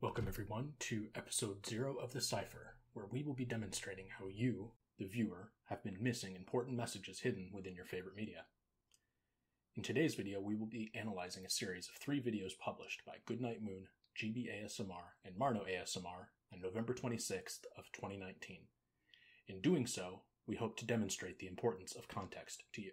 Welcome, everyone, to episode zero of The Cipher, where we will be demonstrating how you, the viewer, have been missing important messages hidden within your favorite media. In today's video, we will be analyzing a series of three videos published by Goodnight Moon, GB and MarnoASMR on November 26th of 2019. In doing so, we hope to demonstrate the importance of context to you.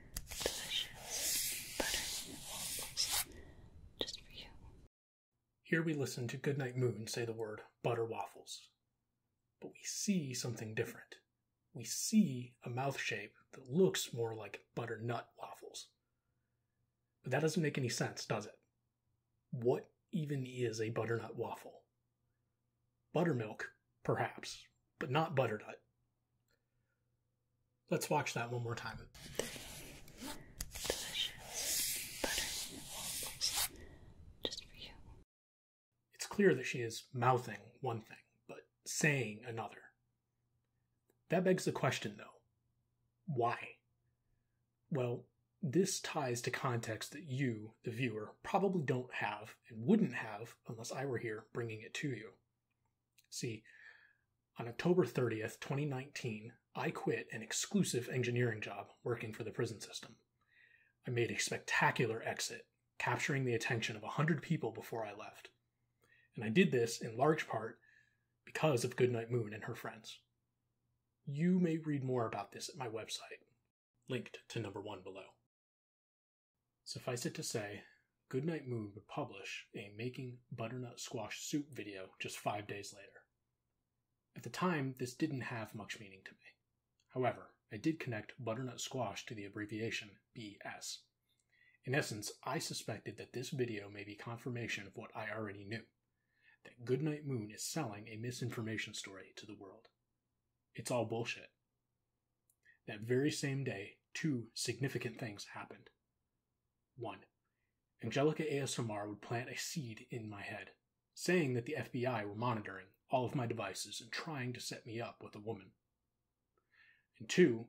Here we listen to Goodnight Moon say the word butter waffles. But we see something different. We see a mouth shape that looks more like butternut waffles. But that doesn't make any sense, does it? What even is a butternut waffle? Buttermilk, perhaps, but not butternut. Let's watch that one more time. It's clear that she is mouthing one thing, but saying another. That begs the question, though why? Well, this ties to context that you, the viewer, probably don't have and wouldn't have unless I were here bringing it to you. See, on October 30th, 2019, I quit an exclusive engineering job working for the prison system. I made a spectacular exit, capturing the attention of 100 people before I left. And I did this in large part because of Goodnight Moon and her friends. You may read more about this at my website, linked to number one below. Suffice it to say, Goodnight Moon would publish a Making Butternut Squash Soup video just five days later. At the time, this didn't have much meaning to me. However, I did connect butternut squash to the abbreviation BS. In essence, I suspected that this video may be confirmation of what I already knew that Goodnight Moon is selling a misinformation story to the world. It's all bullshit. That very same day, two significant things happened. One, Angelica Asomar would plant a seed in my head, saying that the FBI were monitoring all of my devices and trying to set me up with a woman. And two,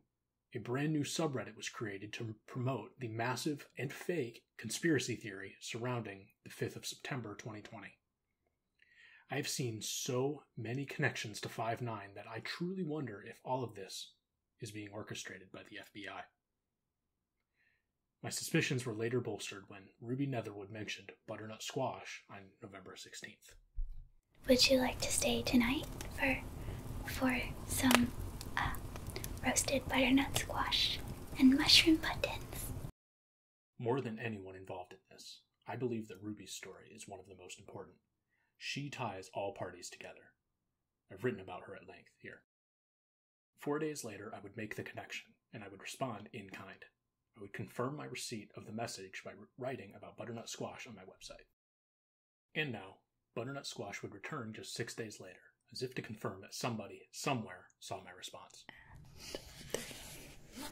a brand new subreddit was created to promote the massive and fake conspiracy theory surrounding the 5th of September 2020. I've seen so many connections to Five Nine that I truly wonder if all of this is being orchestrated by the FBI. My suspicions were later bolstered when Ruby Netherwood mentioned butternut squash on November 16th. Would you like to stay tonight for for some uh, roasted butternut squash and mushroom buttons? More than anyone involved in this, I believe that Ruby's story is one of the most important. She ties all parties together. I've written about her at length here. Four days later, I would make the connection, and I would respond in kind. I would confirm my receipt of the message by writing about butternut squash on my website. And now, butternut squash would return just six days later, as if to confirm that somebody, somewhere, saw my response.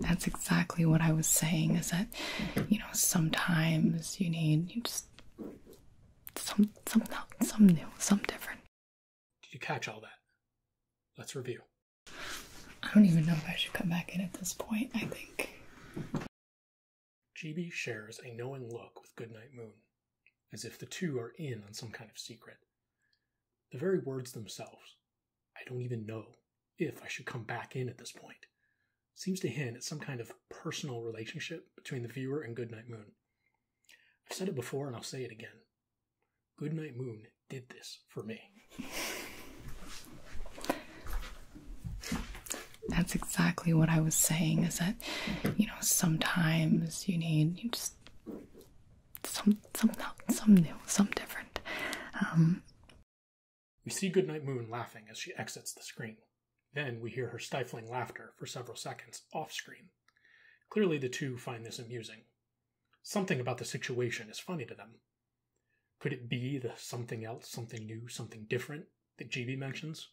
that's exactly what I was saying is that you know sometimes you need you just some some some new some different. Did you catch all that? Let's review. I don't even know if I should come back in at this point, I think. GB shares a knowing look with Goodnight Moon, as if the two are in on some kind of secret. The very words themselves, I don't even know if I should come back in at this point, seems to hint at some kind of personal relationship between the viewer and Goodnight Moon. I've said it before and I'll say it again. Goodnight Moon did this for me. That's exactly what I was saying is that, you know, sometimes you need you just some some some new, some different. Um we see Goodnight Moon laughing as she exits the screen. Then we hear her stifling laughter for several seconds off screen. Clearly, the two find this amusing. Something about the situation is funny to them. Could it be the something else, something new, something different that GB mentions?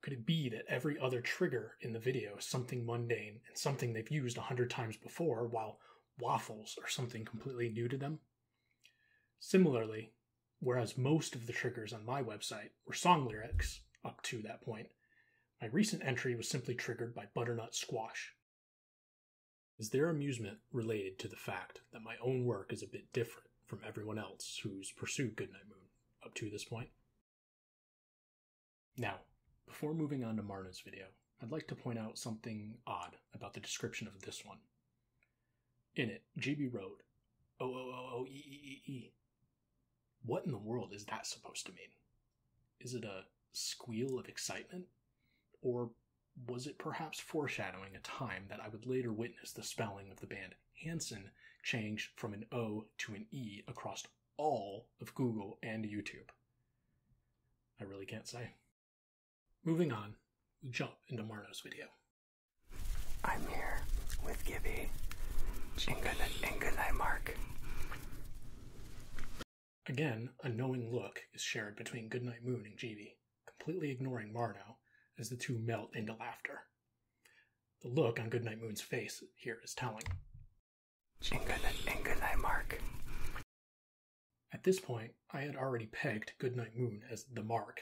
Could it be that every other trigger in the video is something mundane and something they've used a hundred times before, while waffles are something completely new to them. Similarly, whereas most of the triggers on my website were song lyrics up to that point, my recent entry was simply triggered by butternut squash. Is their amusement related to the fact that my own work is a bit different from everyone else who's pursued Goodnight Moon up to this point? Now, before moving on to Marna's video, I'd like to point out something odd about the description of this one. In it, GB wrote, "Oh oh oh oh e e e." What in the world is that supposed to mean? Is it a squeal of excitement, or was it perhaps foreshadowing a time that I would later witness the spelling of the band Hanson change from an O to an E across all of Google and YouTube? I really can't say. Moving on, jump into Marno's video. I'm here with Gibby. Ingalai, Ingalai Mark. Again, a knowing look is shared between Goodnight Moon and Jeevee, completely ignoring Marno as the two melt into laughter. The look on Goodnight Moon's face here is telling. Ingalai, Ingalai Mark. At this point, I had already pegged Goodnight Moon as the mark,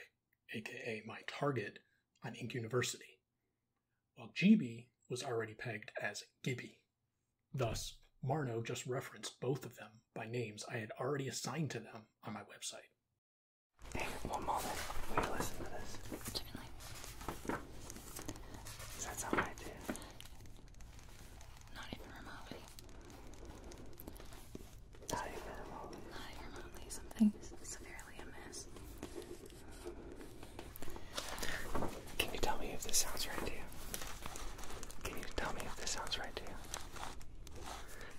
aka my target, on Inc. University, while GB was already pegged as Gibby. Thus, Marno just referenced both of them by names I had already assigned to them on my website. Hey, one moment. Will listen to this? Certainly. that sound right Not even remotely. Not remotely. Not even severely amiss. Can you tell me if this sounds right to you? Can you tell me if this sounds right to you?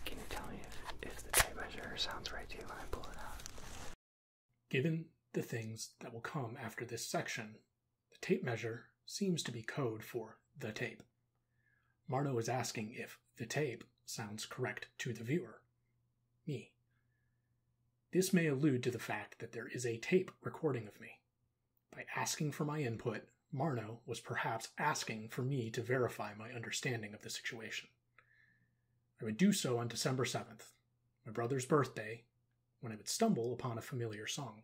Can you tell me if, the tape measure sounds right to you when I pull it out? Given the things that will come after this section, the tape measure seems to be code for the tape. Marno is asking if the tape sounds correct to the viewer, me. This may allude to the fact that there is a tape recording of me. By asking for my input, Marno was perhaps asking for me to verify my understanding of the situation. I would do so on December 7th, my brother's birthday, when I would stumble upon a familiar song.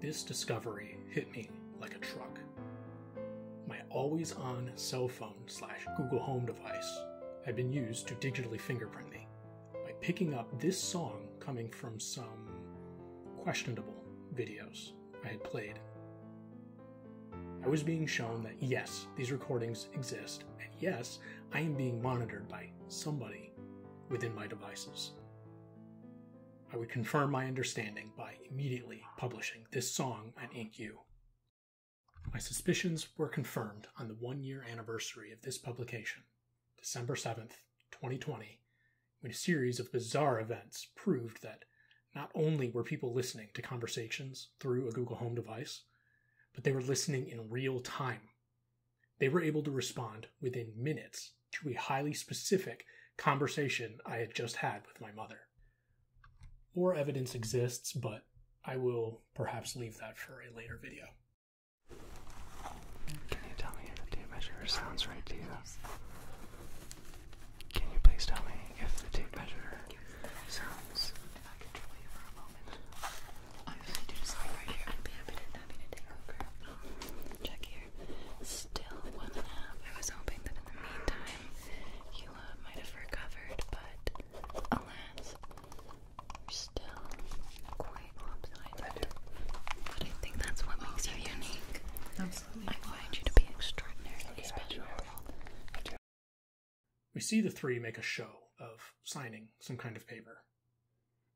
This discovery hit me like a truck. My always on cell phone slash Google Home device had been used to digitally fingerprint me by picking up this song coming from some questionable videos I had played. I was being shown that yes, these recordings exist, and yes, I am being monitored by somebody within my devices. I would confirm my understanding by immediately publishing this song on InkU. My suspicions were confirmed on the one year anniversary of this publication, December 7th, 2020, when a series of bizarre events proved that not only were people listening to conversations through a Google Home device, but they were listening in real time they were able to respond within minutes to a highly specific conversation I had just had with my mother. More evidence exists, but I will perhaps leave that for a later video. Can you tell me if the tape measure sounds right to you? Can you please tell me if the tape measure sounds? I really do just like right here. I'd be happy to, happy to take over. Check here. Still one and a half. I was hoping that in the meantime you might have recovered, but alas, you're still quite lopsided. But I think that's what makes you unique. Absolutely. I find you to be extraordinarily special. We see the three make a show of signing some kind of paper.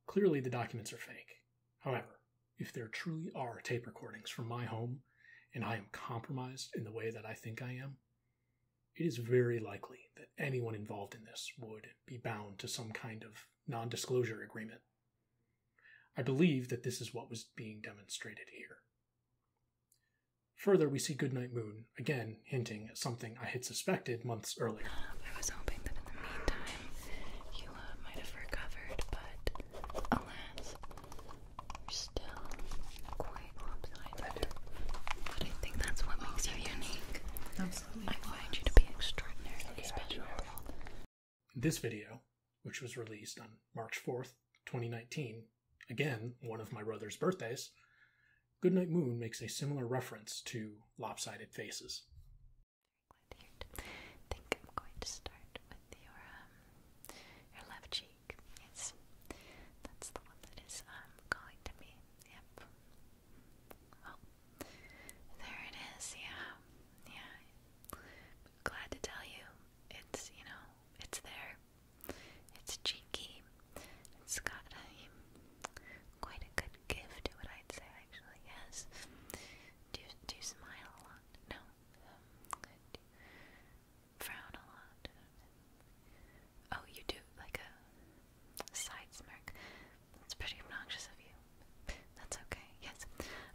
Clearly, the documents are fake. However, if there truly are tape recordings from my home and I am compromised in the way that I think I am, it is very likely that anyone involved in this would be bound to some kind of non disclosure agreement. I believe that this is what was being demonstrated here. Further, we see Goodnight Moon again hinting at something I had suspected months earlier. I was hoping that in the meantime you uh, might have recovered, but alas, you're still quite lopsided. But I think that's what makes you unique. Absolutely. I find you to be extraordinarily special. This video, which was released on March 4th, 2019, again, one of my brother's birthdays, Goodnight Moon makes a similar reference to lopsided faces. I think I'm going to start with your um, your left cheek. Yes. That's the one that is um calling to me. Yep. Well oh. there it is, yeah. Yeah. glad to tell you. It's you know, it's there. It's cheeky. It's got a, quite a good gift, to it, I'd say, actually, yes. Do, you smile a lot. No. frown a lot. Oh, you do like a side smirk. That's pretty obnoxious of you. That's okay. Yes,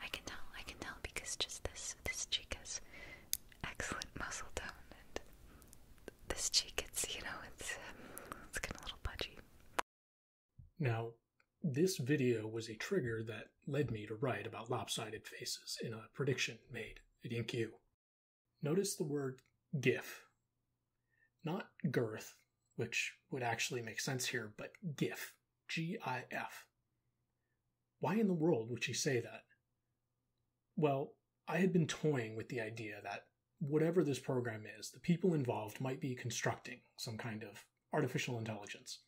I can tell. I can tell because just this this cheek has excellent muscle tone and this cheek it's you know it's um, it's getting a little pudgy now this video was a trigger that led me to write about lopsided faces in a prediction made at InQ. Notice the word GIF. Not girth, which would actually make sense here, but GIF. G I F. Why in the world would she say that? Well, I had been toying with the idea that whatever this program is, the people involved might be constructing some kind of artificial intelligence.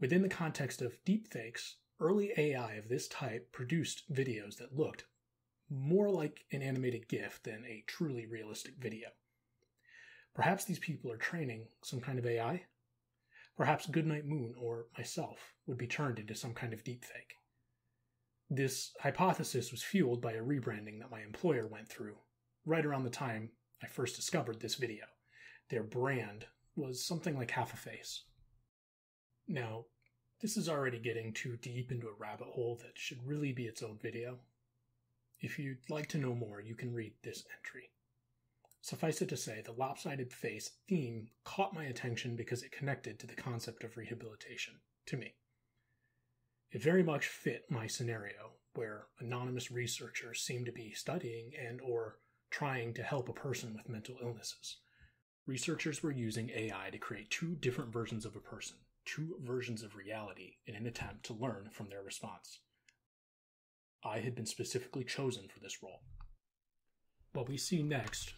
Within the context of deepfakes, early AI of this type produced videos that looked more like an animated GIF than a truly realistic video. Perhaps these people are training some kind of AI. Perhaps Goodnight Moon or myself would be turned into some kind of deepfake. This hypothesis was fueled by a rebranding that my employer went through right around the time I first discovered this video. Their brand was something like half a face. Now, this is already getting too deep into a rabbit hole that should really be its own video. If you'd like to know more, you can read this entry. Suffice it to say, the lopsided face theme caught my attention because it connected to the concept of rehabilitation to me. It very much fit my scenario where anonymous researchers seem to be studying and or trying to help a person with mental illnesses. Researchers were using AI to create two different versions of a person, two versions of reality in an attempt to learn from their response. I had been specifically chosen for this role. What we see next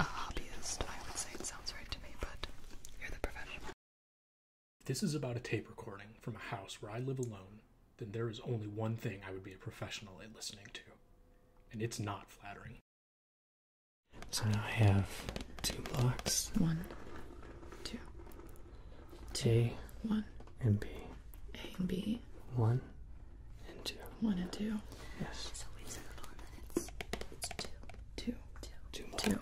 A hobbyist, I would say sounds right to me, but you're the professional. this is about a tape recording from a house where I live alone, then there is only one thing I would be a professional at listening to, and it's not flattering. So now I have two blocks. one, two, T, one, and B. A and B. One, and two. One and two. Yes. Two.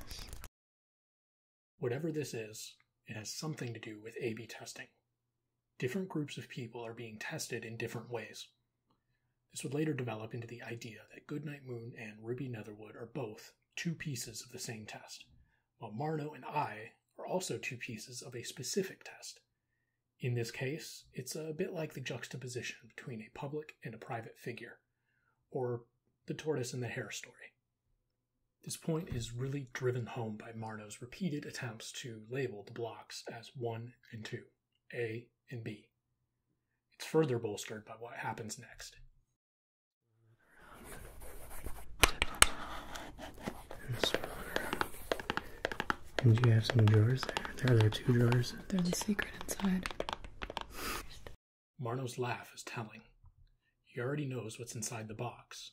Whatever this is, it has something to do with A B testing. Different groups of people are being tested in different ways. This would later develop into the idea that Goodnight Moon and Ruby Netherwood are both two pieces of the same test, while Marno and I are also two pieces of a specific test. In this case, it's a bit like the juxtaposition between a public and a private figure, or the tortoise and the hare story. This point is really driven home by Marno's repeated attempts to label the blocks as 1 and 2, A and B. It's further bolstered by what happens next. And you have some drawers there. There are there two drawers. There's a secret inside. Marno's laugh is telling. He already knows what's inside the box.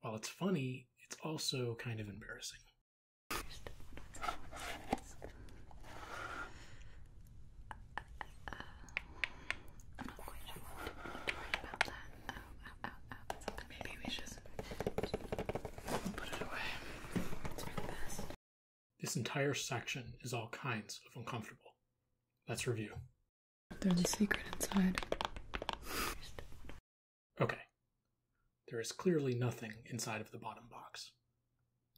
While it's funny, it's also kind of embarrassing. Maybe we should put it away. It's for the best. This entire section is all kinds of uncomfortable. Let's review. There's a secret inside. Okay. There is clearly nothing inside of the bottom box.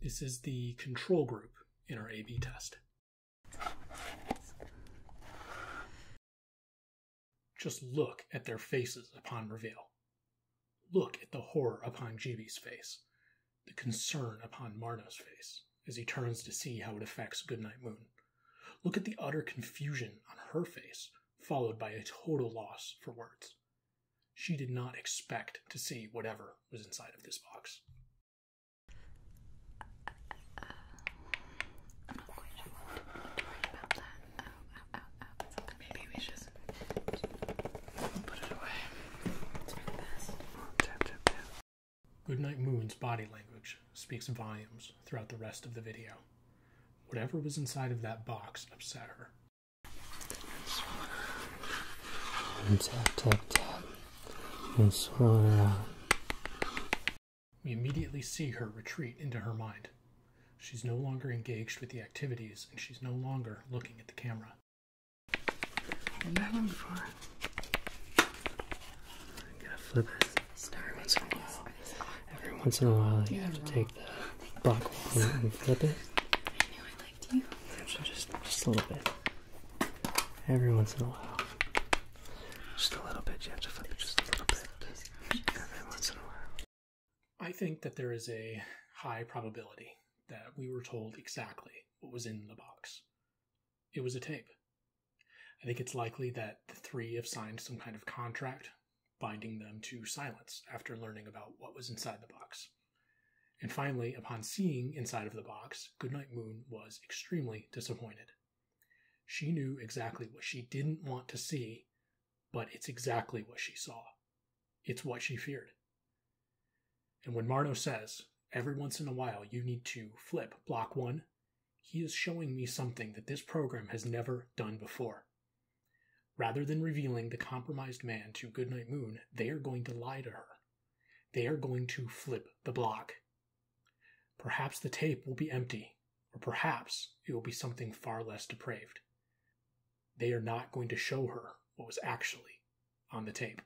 This is the control group in our A-B test. Just look at their faces upon reveal. Look at the horror upon Jeeby's face, the concern upon Marno's face as he turns to see how it affects Goodnight Moon. Look at the utter confusion on her face, followed by a total loss for words. She did not expect to see whatever was inside of this box ow, ow, Goodnight Moon's body language speaks volumes throughout the rest of the video. Whatever was inside of that box upset her. We immediately see her retreat into her mind, She's no longer engaged with the activities and she's no longer looking at the camera. What are you looking for? I gotta flip it. Every once in a while. you have to take the block and flip it. I knew I liked you. Just, just a little bit. Every once in a while. Just a little bit, you have to flip it just a little bit. Every once in a while. I think that there is a high probability that we were told exactly what was in the box. It was a tape. I think it's likely that the three have signed some kind of contract binding them to silence after learning about what was inside the box. And finally, upon seeing inside of the box, Goodnight Moon was extremely disappointed. She knew exactly what she didn't want to see but it's exactly what she saw. It's what she feared. And when Marno says, every once in a while you need to flip block one, he is showing me something that this program has never done before. Rather than revealing the compromised man to Goodnight Moon, they are going to lie to her. They are going to flip the block. Perhaps the tape will be empty, or perhaps it will be something far less depraved they are not going to show her what was actually on the tape.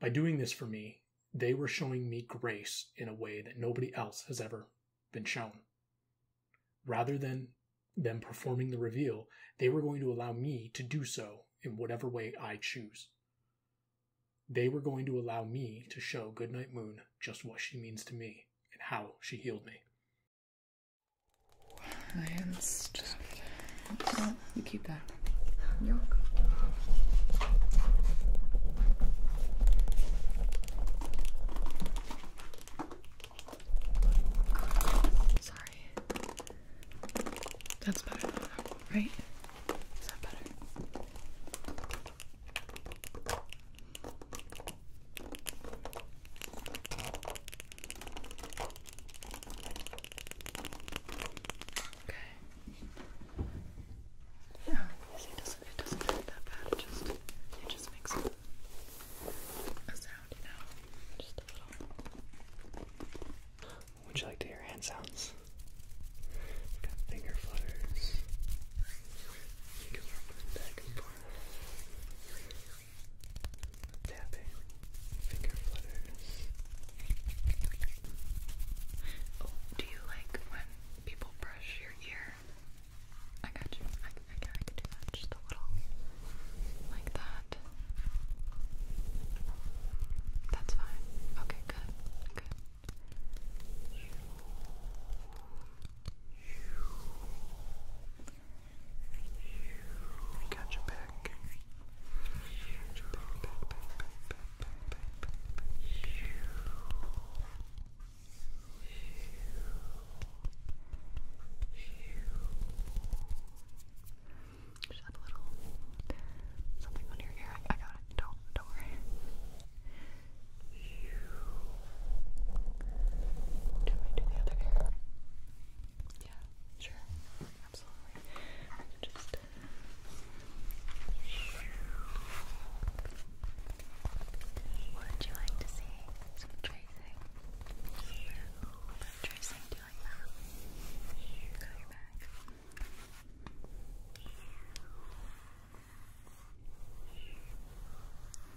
By doing this for me, they were showing me grace in a way that nobody else has ever been shown. Rather than them performing the reveal, they were going to allow me to do so in whatever way I choose. They were going to allow me to show Goodnight Moon just what she means to me and how she healed me I am stuck. you keep that. Sorry. That's better right? Is that better? Okay. Yeah, see, doesn't, it doesn't hurt that bad. It just, it just makes a, sound, you know, just a little. Would you like to hear hand sounds? finger flutters tapping, finger flutters. Oh, do you like when people brush your ear? I got you. I, can do that. Just a little like that. That's fine. Okay, good. Good. Got your back. Got your back, back, back, back, back, back, back, back, back. Just have a little something on your ear. I got it. Don't, don't worry. Do me do the other ear? Yeah, sure. Absolutely. Just what would you like to see? Some tracing. Some tracing do you like that? Got your back.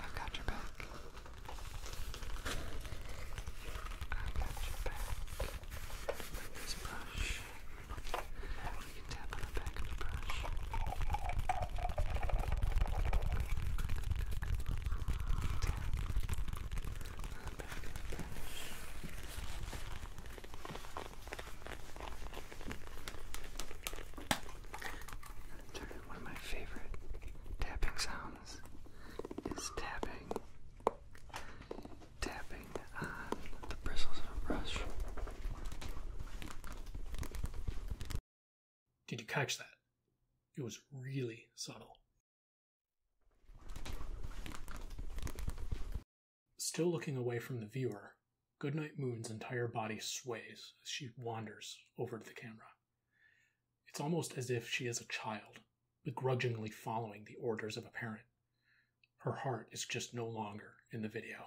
I've got your back. I've got your back. this brush, you can tap on the back of the brush. Tap on the back of the brush. One of my favorite tapping sounds is tapping, tapping on the bristles of a brush. Did you catch that? It was really subtle. Still looking away from the viewer, Goodnight Moon's entire body sways as she wanders over to the camera. It's almost as if she is a child, begrudgingly following the orders of a parent. Her heart is just no longer in the video.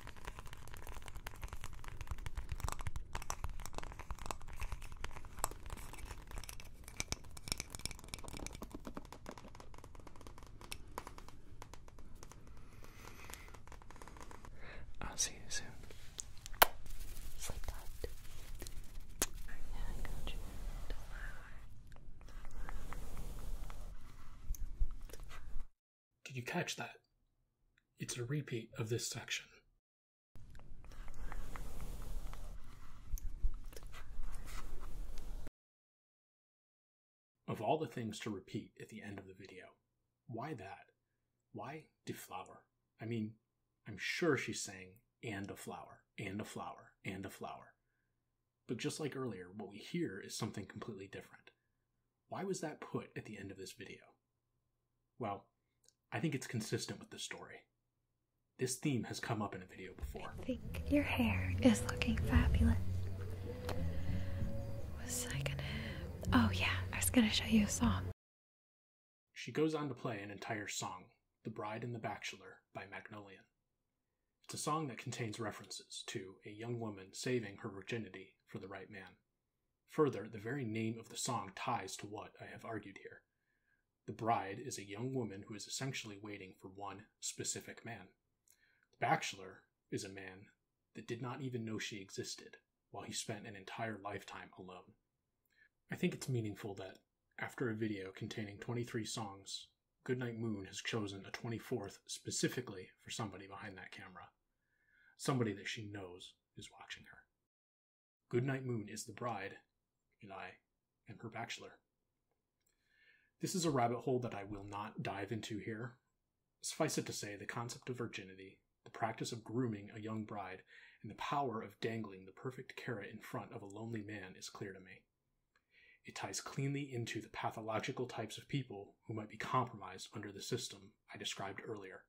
I'll see you soon. Sleep tight. I got you. Don't worry. Did you catch that? It's a repeat of this section. Of all the things to repeat at the end of the video, why that? Why deflower? I mean, I'm sure she's saying, and a flower, and a flower, and a flower. But just like earlier, what we hear is something completely different. Why was that put at the end of this video? Well, I think it's consistent with the story. This theme has come up in a video before. I think your hair is looking fabulous. Was I gonna. Oh, yeah, I was gonna show you a song. She goes on to play an entire song, The Bride and the Bachelor by Magnolian. It's a song that contains references to a young woman saving her virginity for the right man. Further, the very name of the song ties to what I have argued here. The bride is a young woman who is essentially waiting for one specific man. The bachelor is a man that did not even know she existed while he spent an entire lifetime alone. I think it's meaningful that, after a video containing 23 songs, Goodnight Moon has chosen a 24th specifically for somebody behind that camera. Somebody that she knows is watching her. Goodnight Moon is the bride, and I am her bachelor. This is a rabbit hole that I will not dive into here. Suffice it to say, the concept of virginity, the practice of grooming a young bride, and the power of dangling the perfect carrot in front of a lonely man is clear to me. It ties cleanly into the pathological types of people who might be compromised under the system I described earlier.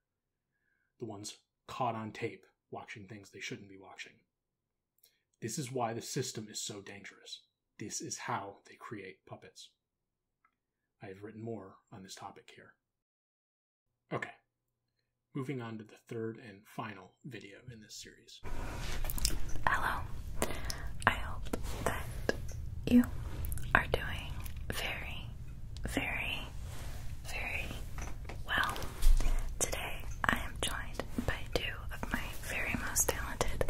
The ones caught on tape watching things they shouldn't be watching. This is why the system is so dangerous. This is how they create puppets. I have written more on this topic here. Okay, moving on to the third and final video in this series. Hello. I hope that you are doing very, very, very well. Today I am joined by two of my very most talented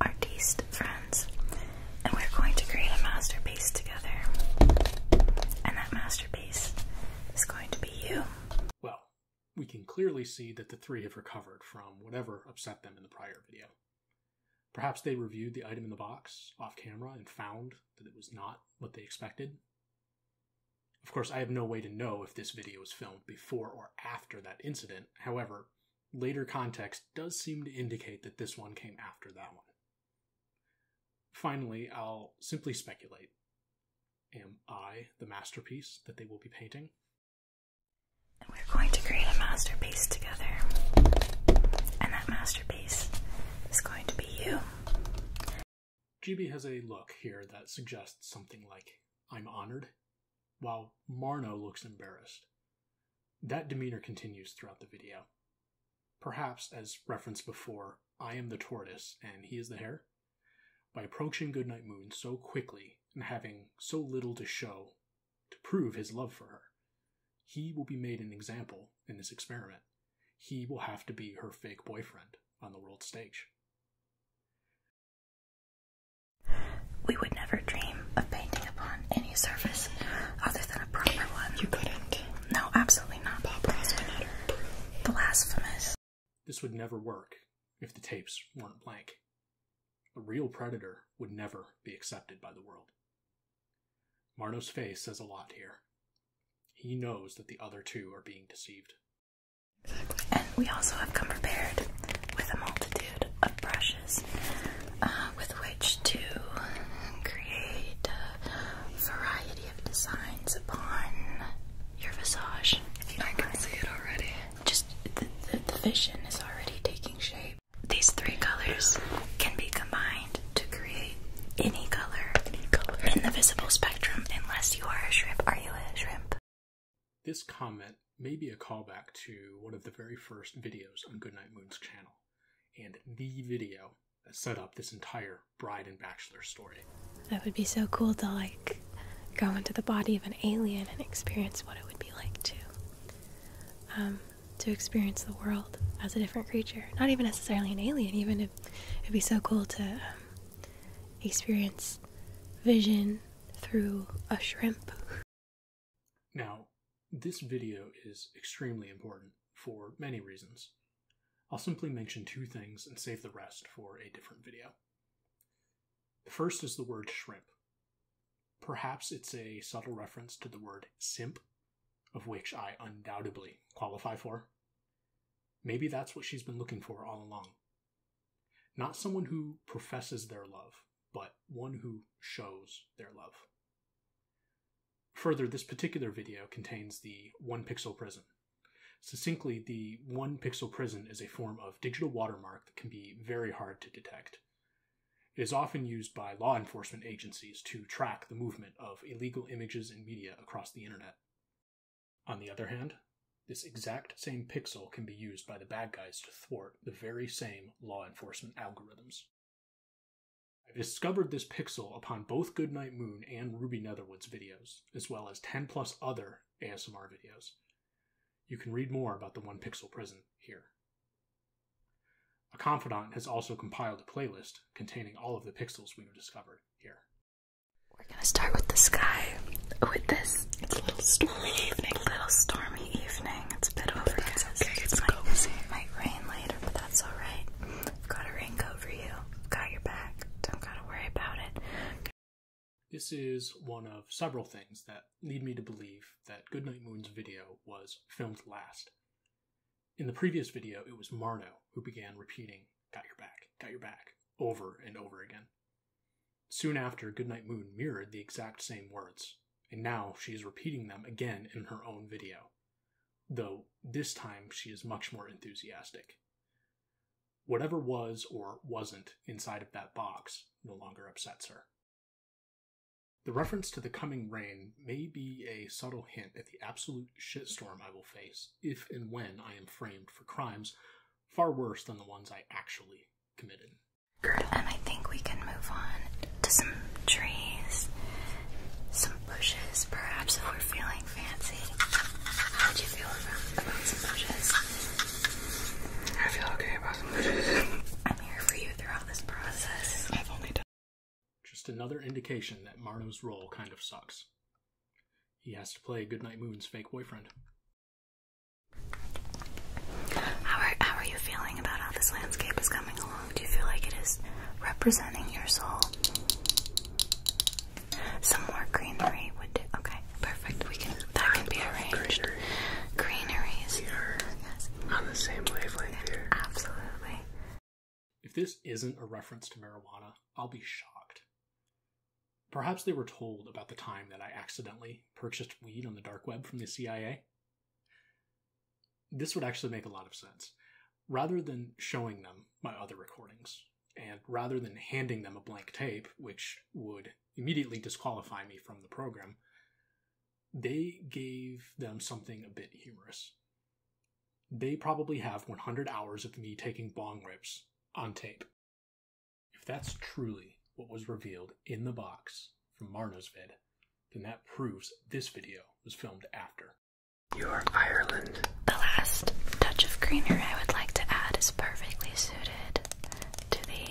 artiste friends, and we're going to create a masterpiece together. And that masterpiece is going to be you. Well, we can clearly see that the three have recovered from whatever upset them in the prior video. Perhaps they reviewed the item in the box off camera and found that it was not what they expected. Of course, I have no way to know if this video was filmed before or after that incident. However, later context does seem to indicate that this one came after that one. Finally, I'll simply speculate. Am I the masterpiece that they will be painting? And we're going to create a masterpiece together. And that masterpiece is going to be you. GB has a look here that suggests something like, I'm honored, while Marno looks embarrassed. That demeanor continues throughout the video. Perhaps, as referenced before, I am the tortoise and he is the hare. By approaching Goodnight Moon so quickly and having so little to show to prove his love for her. He will be made an example in this experiment. He will have to be her fake boyfriend on the world stage. We would never dream of painting upon any surface other than a proper one. You couldn't. No, absolutely not. Bob Blasphemous. This would never work if the tapes weren't blank. A real predator would never be accepted by the world. Marno's face says a lot here. He knows that the other two are being deceived. And we also have come prepared with a multitude of brushes uh, with which to create a variety of designs upon your visage. If you I can see it already. Just the vision is already taking shape. These three colors can be combined to create any color, in the visible spectrum, unless you are a shrimp. Are you a shrimp? This comment may be a callback to one of the very first videos on Goodnight Moon's channel, and the video that set up this entire bride and bachelor story. That would be so cool to like go into the body of an alien and experience what it would be like to. Um, to experience the world as a different creature. Not even necessarily an alien, even if it'd be so cool to um, experience vision through a shrimp. Now, this video is extremely important for many reasons. I'll simply mention two things and save the rest for a different video. The first is the word shrimp. Perhaps it's a subtle reference to the word simp, of which I undoubtedly qualify for. Maybe that's what she's been looking for all along. Not someone who professes their love, but one who shows their love. Further, this particular video contains the one pixel prism. Succinctly, the one pixel prism is a form of digital watermark that can be very hard to detect. It is often used by law enforcement agencies to track the movement of illegal images and media across the internet. On the other hand, this exact same pixel can be used by the bad guys to thwart the very same law enforcement algorithms. I have discovered this pixel upon both Goodnight Moon and Ruby Netherwood's videos, as well as 10 plus other ASMR videos. You can read more about the one pixel Prison here. A confidant has also compiled a playlist containing all of the pixels we have discovered here. We're gonna start with the sky. Oh, with this, it's a little stormy evening. It's a bit overcast. It's cozy. might rain later, but that's all right. I've got a raincoat for you. I've got your back. Don't gotta worry about it. This is one of several things that lead me to believe that Goodnight Moon's video was filmed last. In the previous video, it was Marno who began repeating, Got your back, got your back, over and over again. Soon after, Goodnight Moon mirrored the exact same words, and now she is repeating them again in her own video, though this time she is much more enthusiastic. Whatever was or wasn't inside of that box no longer upsets her. The reference to the coming rain may be a subtle hint at the absolute shitstorm I will face if and when I am framed for crimes far worse than the ones I actually committed. And I think we can move on to some trees, some bushes, perhaps if we're feeling fancy. How would you feel about some bushes? I feel okay about some bushes. I'm here for you. Just another indication that Marno's role kind of sucks. He has to play Goodnight Moon's fake boyfriend. How are, you feeling about how this landscape is coming along? Do you feel like it is representing your soul? Some more greenery would Okay, perfect. We can that can be arranged. Greenery. Greeneries. Yes on the same wavelength here. Absolutely. If this isn't a reference to marijuana, I'll be shocked. Perhaps they were told about the time that I accidentally purchased weed on the dark web from the CIA? This would actually make a lot of sense. Rather than showing them my other recordings, and rather than handing them a blank tape, which would immediately disqualify me from the program, they gave them something a bit humorous. They probably have 100 hours of me taking bong rips on tape. If that's truly what was revealed in the box from Marno's vid, then that proves this video was filmed after. Your Ireland. The last touch of greenery I would like to add is perfectly suited to the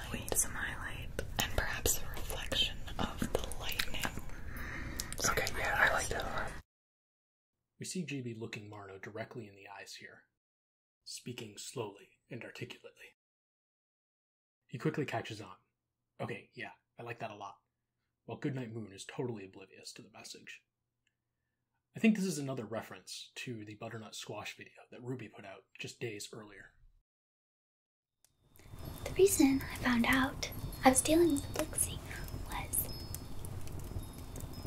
highlight. We need highlight. And perhaps a reflection of the lightning. okay, yeah, I like that one. We see GB looking Marno directly in the eyes here, speaking slowly and articulately. He quickly catches on. Okay, yeah, I like that a lot. Well, Goodnight Moon is totally oblivious to the message. I think this is another reference to the butternut squash video that Ruby put out just days earlier. The reason I found out I was dealing with Blixie was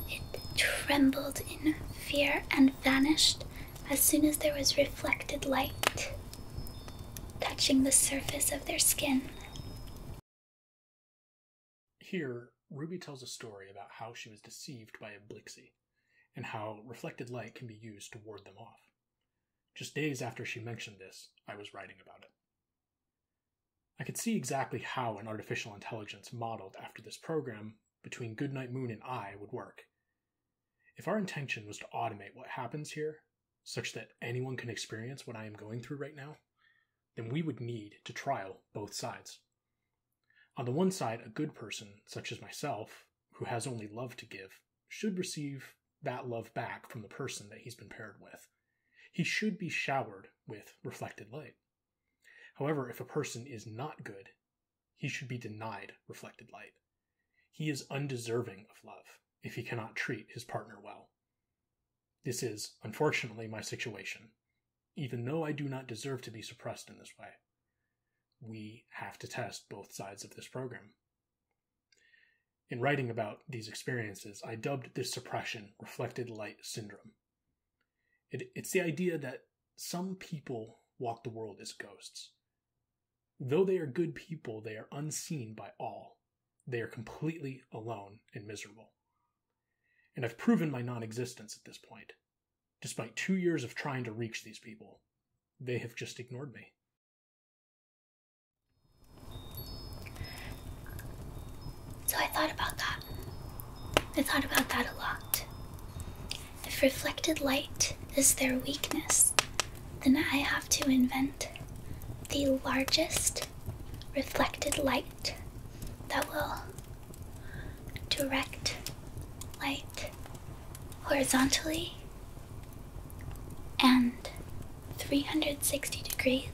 it trembled in fear and vanished as soon as there was reflected light touching the surface of their skin. Here, Ruby tells a story about how she was deceived by a Blixie and how reflected light can be used to ward them off. Just days after she mentioned this, I was writing about it. I could see exactly how an artificial intelligence modeled after this program between Goodnight Moon and I would work. If our intention was to automate what happens here, such that anyone can experience what I am going through right now, then we would need to trial both sides. On the one side, a good person, such as myself, who has only love to give, should receive that love back from the person that he's been paired with. He should be showered with reflected light. However, if a person is not good, he should be denied reflected light. He is undeserving of love if he cannot treat his partner well. This is, unfortunately, my situation, even though I do not deserve to be suppressed in this way. We have to test both sides of this program. In writing about these experiences, I dubbed this suppression reflected light syndrome. it's the idea that some people walk the world as ghosts. Though they are good people, they are unseen by all. They are completely alone and miserable. And I've proven my nonexistence at this point. Despite two years of trying to reach these people, they have just ignored me. So I thought about that. I thought about that a lot. If reflected light is their weakness, then I have to invent the largest reflected light that will direct light horizontally and 360 degrees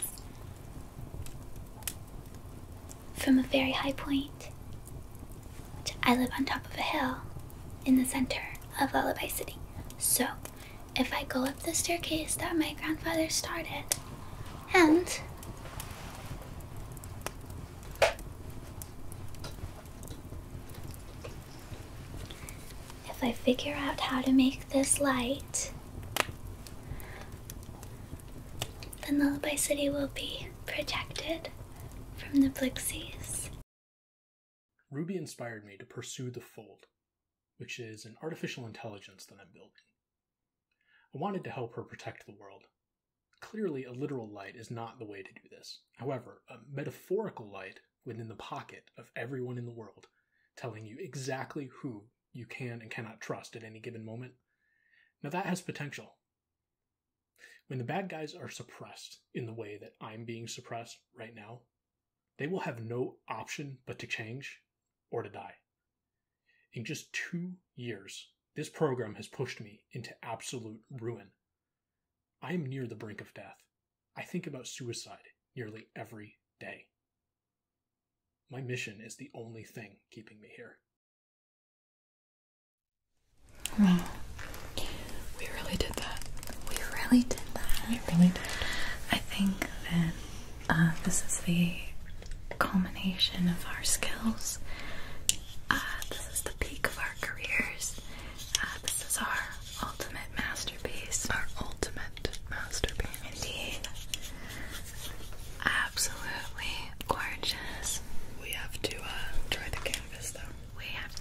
from a very high point. I live on top of a hill in the center of Lullaby City. So, if I go up the staircase that my grandfather started, and if I figure out how to make this light, then Lullaby City will be protected from the Blixies. Ruby inspired me to pursue the Fold, which is an artificial intelligence that I'm building. I wanted to help her protect the world. Clearly, a literal light is not the way to do this. However, a metaphorical light within the pocket of everyone in the world, telling you exactly who you can and cannot trust at any given moment. Now, that has potential. When the bad guys are suppressed in the way that I'm being suppressed right now, they will have no option but to change or to die. In just two years, this program has pushed me into absolute ruin. I am near the brink of death, I think about suicide nearly every day. My mission is the only thing keeping me here. Wow. We really did that. We really did that. We really did. I think that uh, this is the culmination of our skills. Uh, this is the peak of our careers. Uh, this is our ultimate masterpiece. Our ultimate masterpiece. Indeed. Absolutely gorgeous. We have to try uh, the canvas though. We have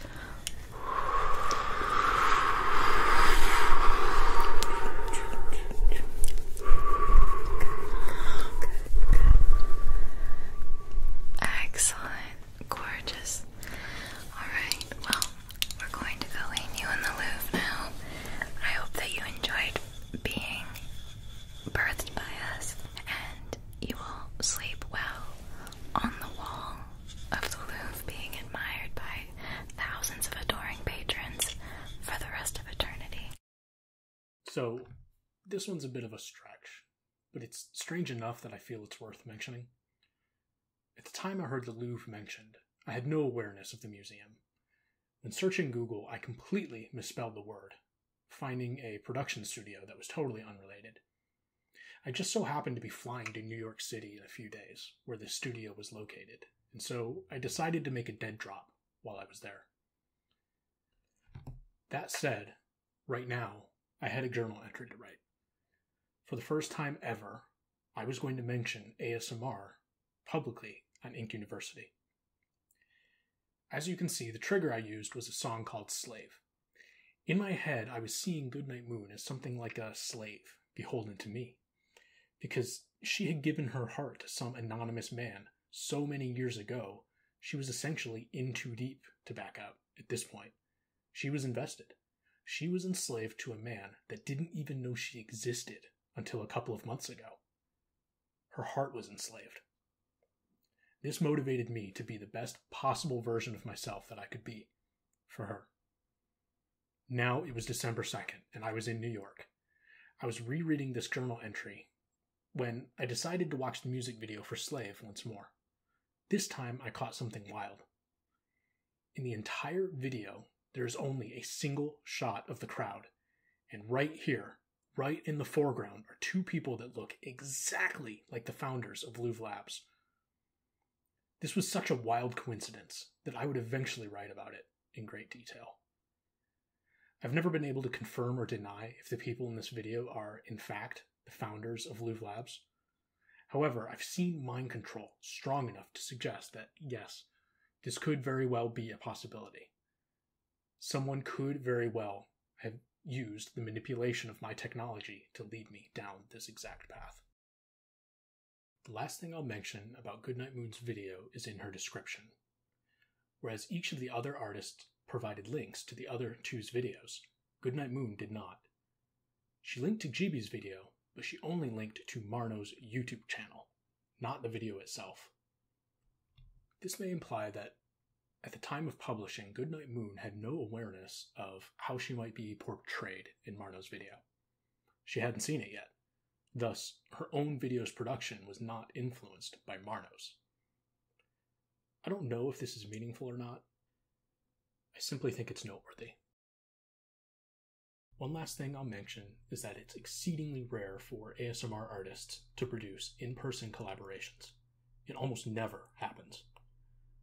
Excellent. Gorgeous. Alright, well, we're going to go lean you in the Louvre now. I hope that you enjoyed being birthed by us and you will sleep well on the wall of the Louvre being admired by thousands of adoring patrons for the rest of eternity. So, this one's a bit of a stretch but it's strange enough that I feel it's worth mentioning. At the time I heard the Louvre mentioned, I had no awareness of the museum. When searching Google, I completely misspelled the word, finding a production studio that was totally unrelated. I just so happened to be flying to New York City in a few days, where the studio was located, and so I decided to make a dead drop while I was there. That said, right now, I had a journal entry to write. For the first time ever, I was going to mention ASMR publicly on Inc. University. As you can see, the trigger I used was a song called Slave. In my head, I was seeing Goodnight Moon as something like a slave beholden to me, because she had given her heart to some anonymous man so many years ago, she was essentially in too deep to back out at this point, she was invested. She was enslaved to a man that didn't even know she existed until a couple of months ago. Her heart was enslaved. This motivated me to be the best possible version of myself that I could be for her. Now it was December 2nd, and I was in New York. I was rereading this journal entry when I decided to watch the music video for Slave once more. This time I caught something wild. In the entire video, there is only a single shot of the crowd, and right here, right in the foreground, are two people that look exactly like the founders of Louvre Labs. This was such a wild coincidence that I would eventually write about it in great detail. I've never been able to confirm or deny if the people in this video are, in fact, the founders of Louvre Labs. However, I've seen mind control strong enough to suggest that, yes, this could very well be a possibility. Someone could very well have used the manipulation of my technology to lead me down this exact path. The last thing I'll mention about Goodnight Moon's video is in her description. Whereas each of the other artists provided links to the other two's videos, Goodnight Moon did not. She linked to Jeeby's video, but she only linked to Marno's YouTube channel, not the video itself. This may imply that at the time of publishing, Goodnight Moon had no awareness of how she might be portrayed in Marno's video. She hadn't seen it yet. Thus, her own video's production was not influenced by Marno's. I don't know if this is meaningful or not, I simply think it's noteworthy. One last thing I'll mention is that it's exceedingly rare for ASMR artists to produce in person collaborations. It almost never happens.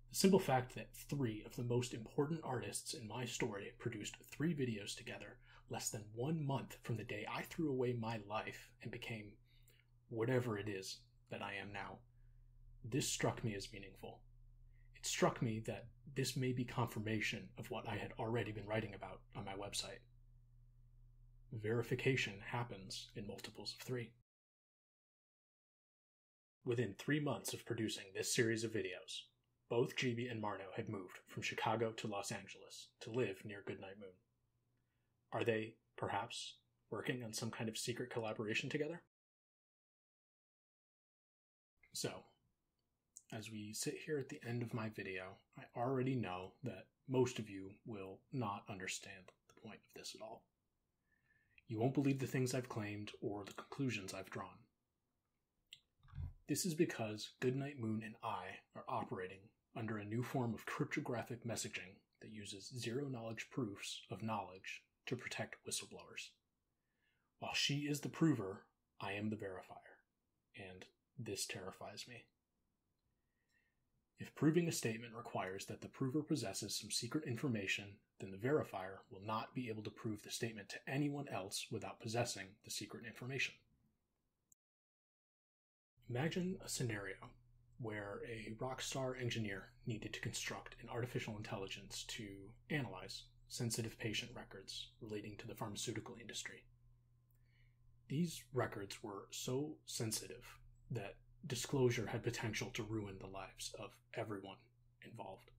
The simple fact that three of the most important artists in my story produced three videos together less than one month from the day I threw away my life and became whatever it is that I am now. This struck me as meaningful. It struck me that this may be confirmation of what I had already been writing about on my website. Verification happens in multiples of three. Within three months of producing this series of videos, both GB and Marno had moved from Chicago to Los Angeles to live near Goodnight Moon. Are they, perhaps, working on some kind of secret collaboration together? So, as we sit here at the end of my video, I already know that most of you will not understand the point of this at all. You won't believe the things I've claimed or the conclusions I've drawn. This is because Goodnight Moon and I are operating under a new form of cryptographic messaging that uses zero knowledge proofs of knowledge to protect whistleblowers. While she is the prover, I am the verifier, and this terrifies me. If proving a statement requires that the prover possesses some secret information, then the verifier will not be able to prove the statement to anyone else without possessing the secret information. Imagine a scenario where a rock star engineer needed to construct an artificial intelligence to analyze sensitive patient records relating to the pharmaceutical industry. These records were so sensitive that disclosure had potential to ruin the lives of everyone involved.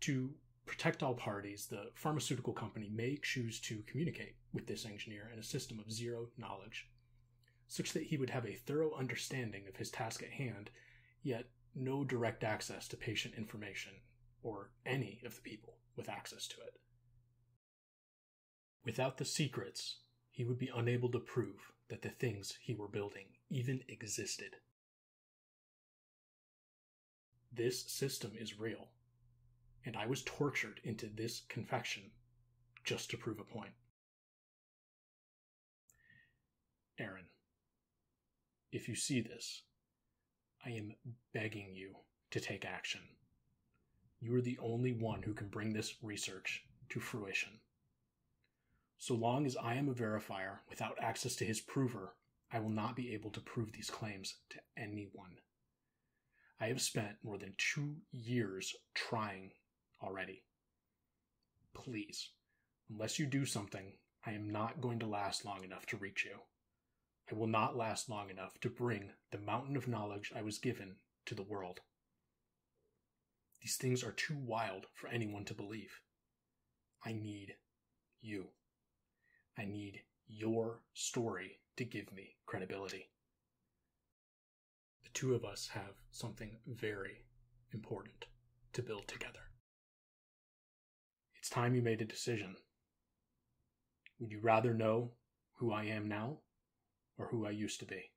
To protect all parties, the pharmaceutical company may choose to communicate with this engineer in a system of zero knowledge such that he would have a thorough understanding of his task at hand, yet no direct access to patient information or any of the people with access to it. Without the secrets, he would be unable to prove that the things he were building even existed. This system is real, and I was tortured into this confection just to prove a point. Aaron, if you see this, I am begging you to take action. You are the only one who can bring this research to fruition. So long as I am a verifier without access to his prover, I will not be able to prove these claims to anyone. I have spent more than two years trying already, Please, unless you do something, I am not going to last long enough to reach you. I will not last long enough to bring the mountain of knowledge I was given to the world. These things are too wild for anyone to believe. I need you. I need your story to give me credibility the two of us have something very important to build together. It's time you made a decision. Would you rather know who I am now or who I used to be?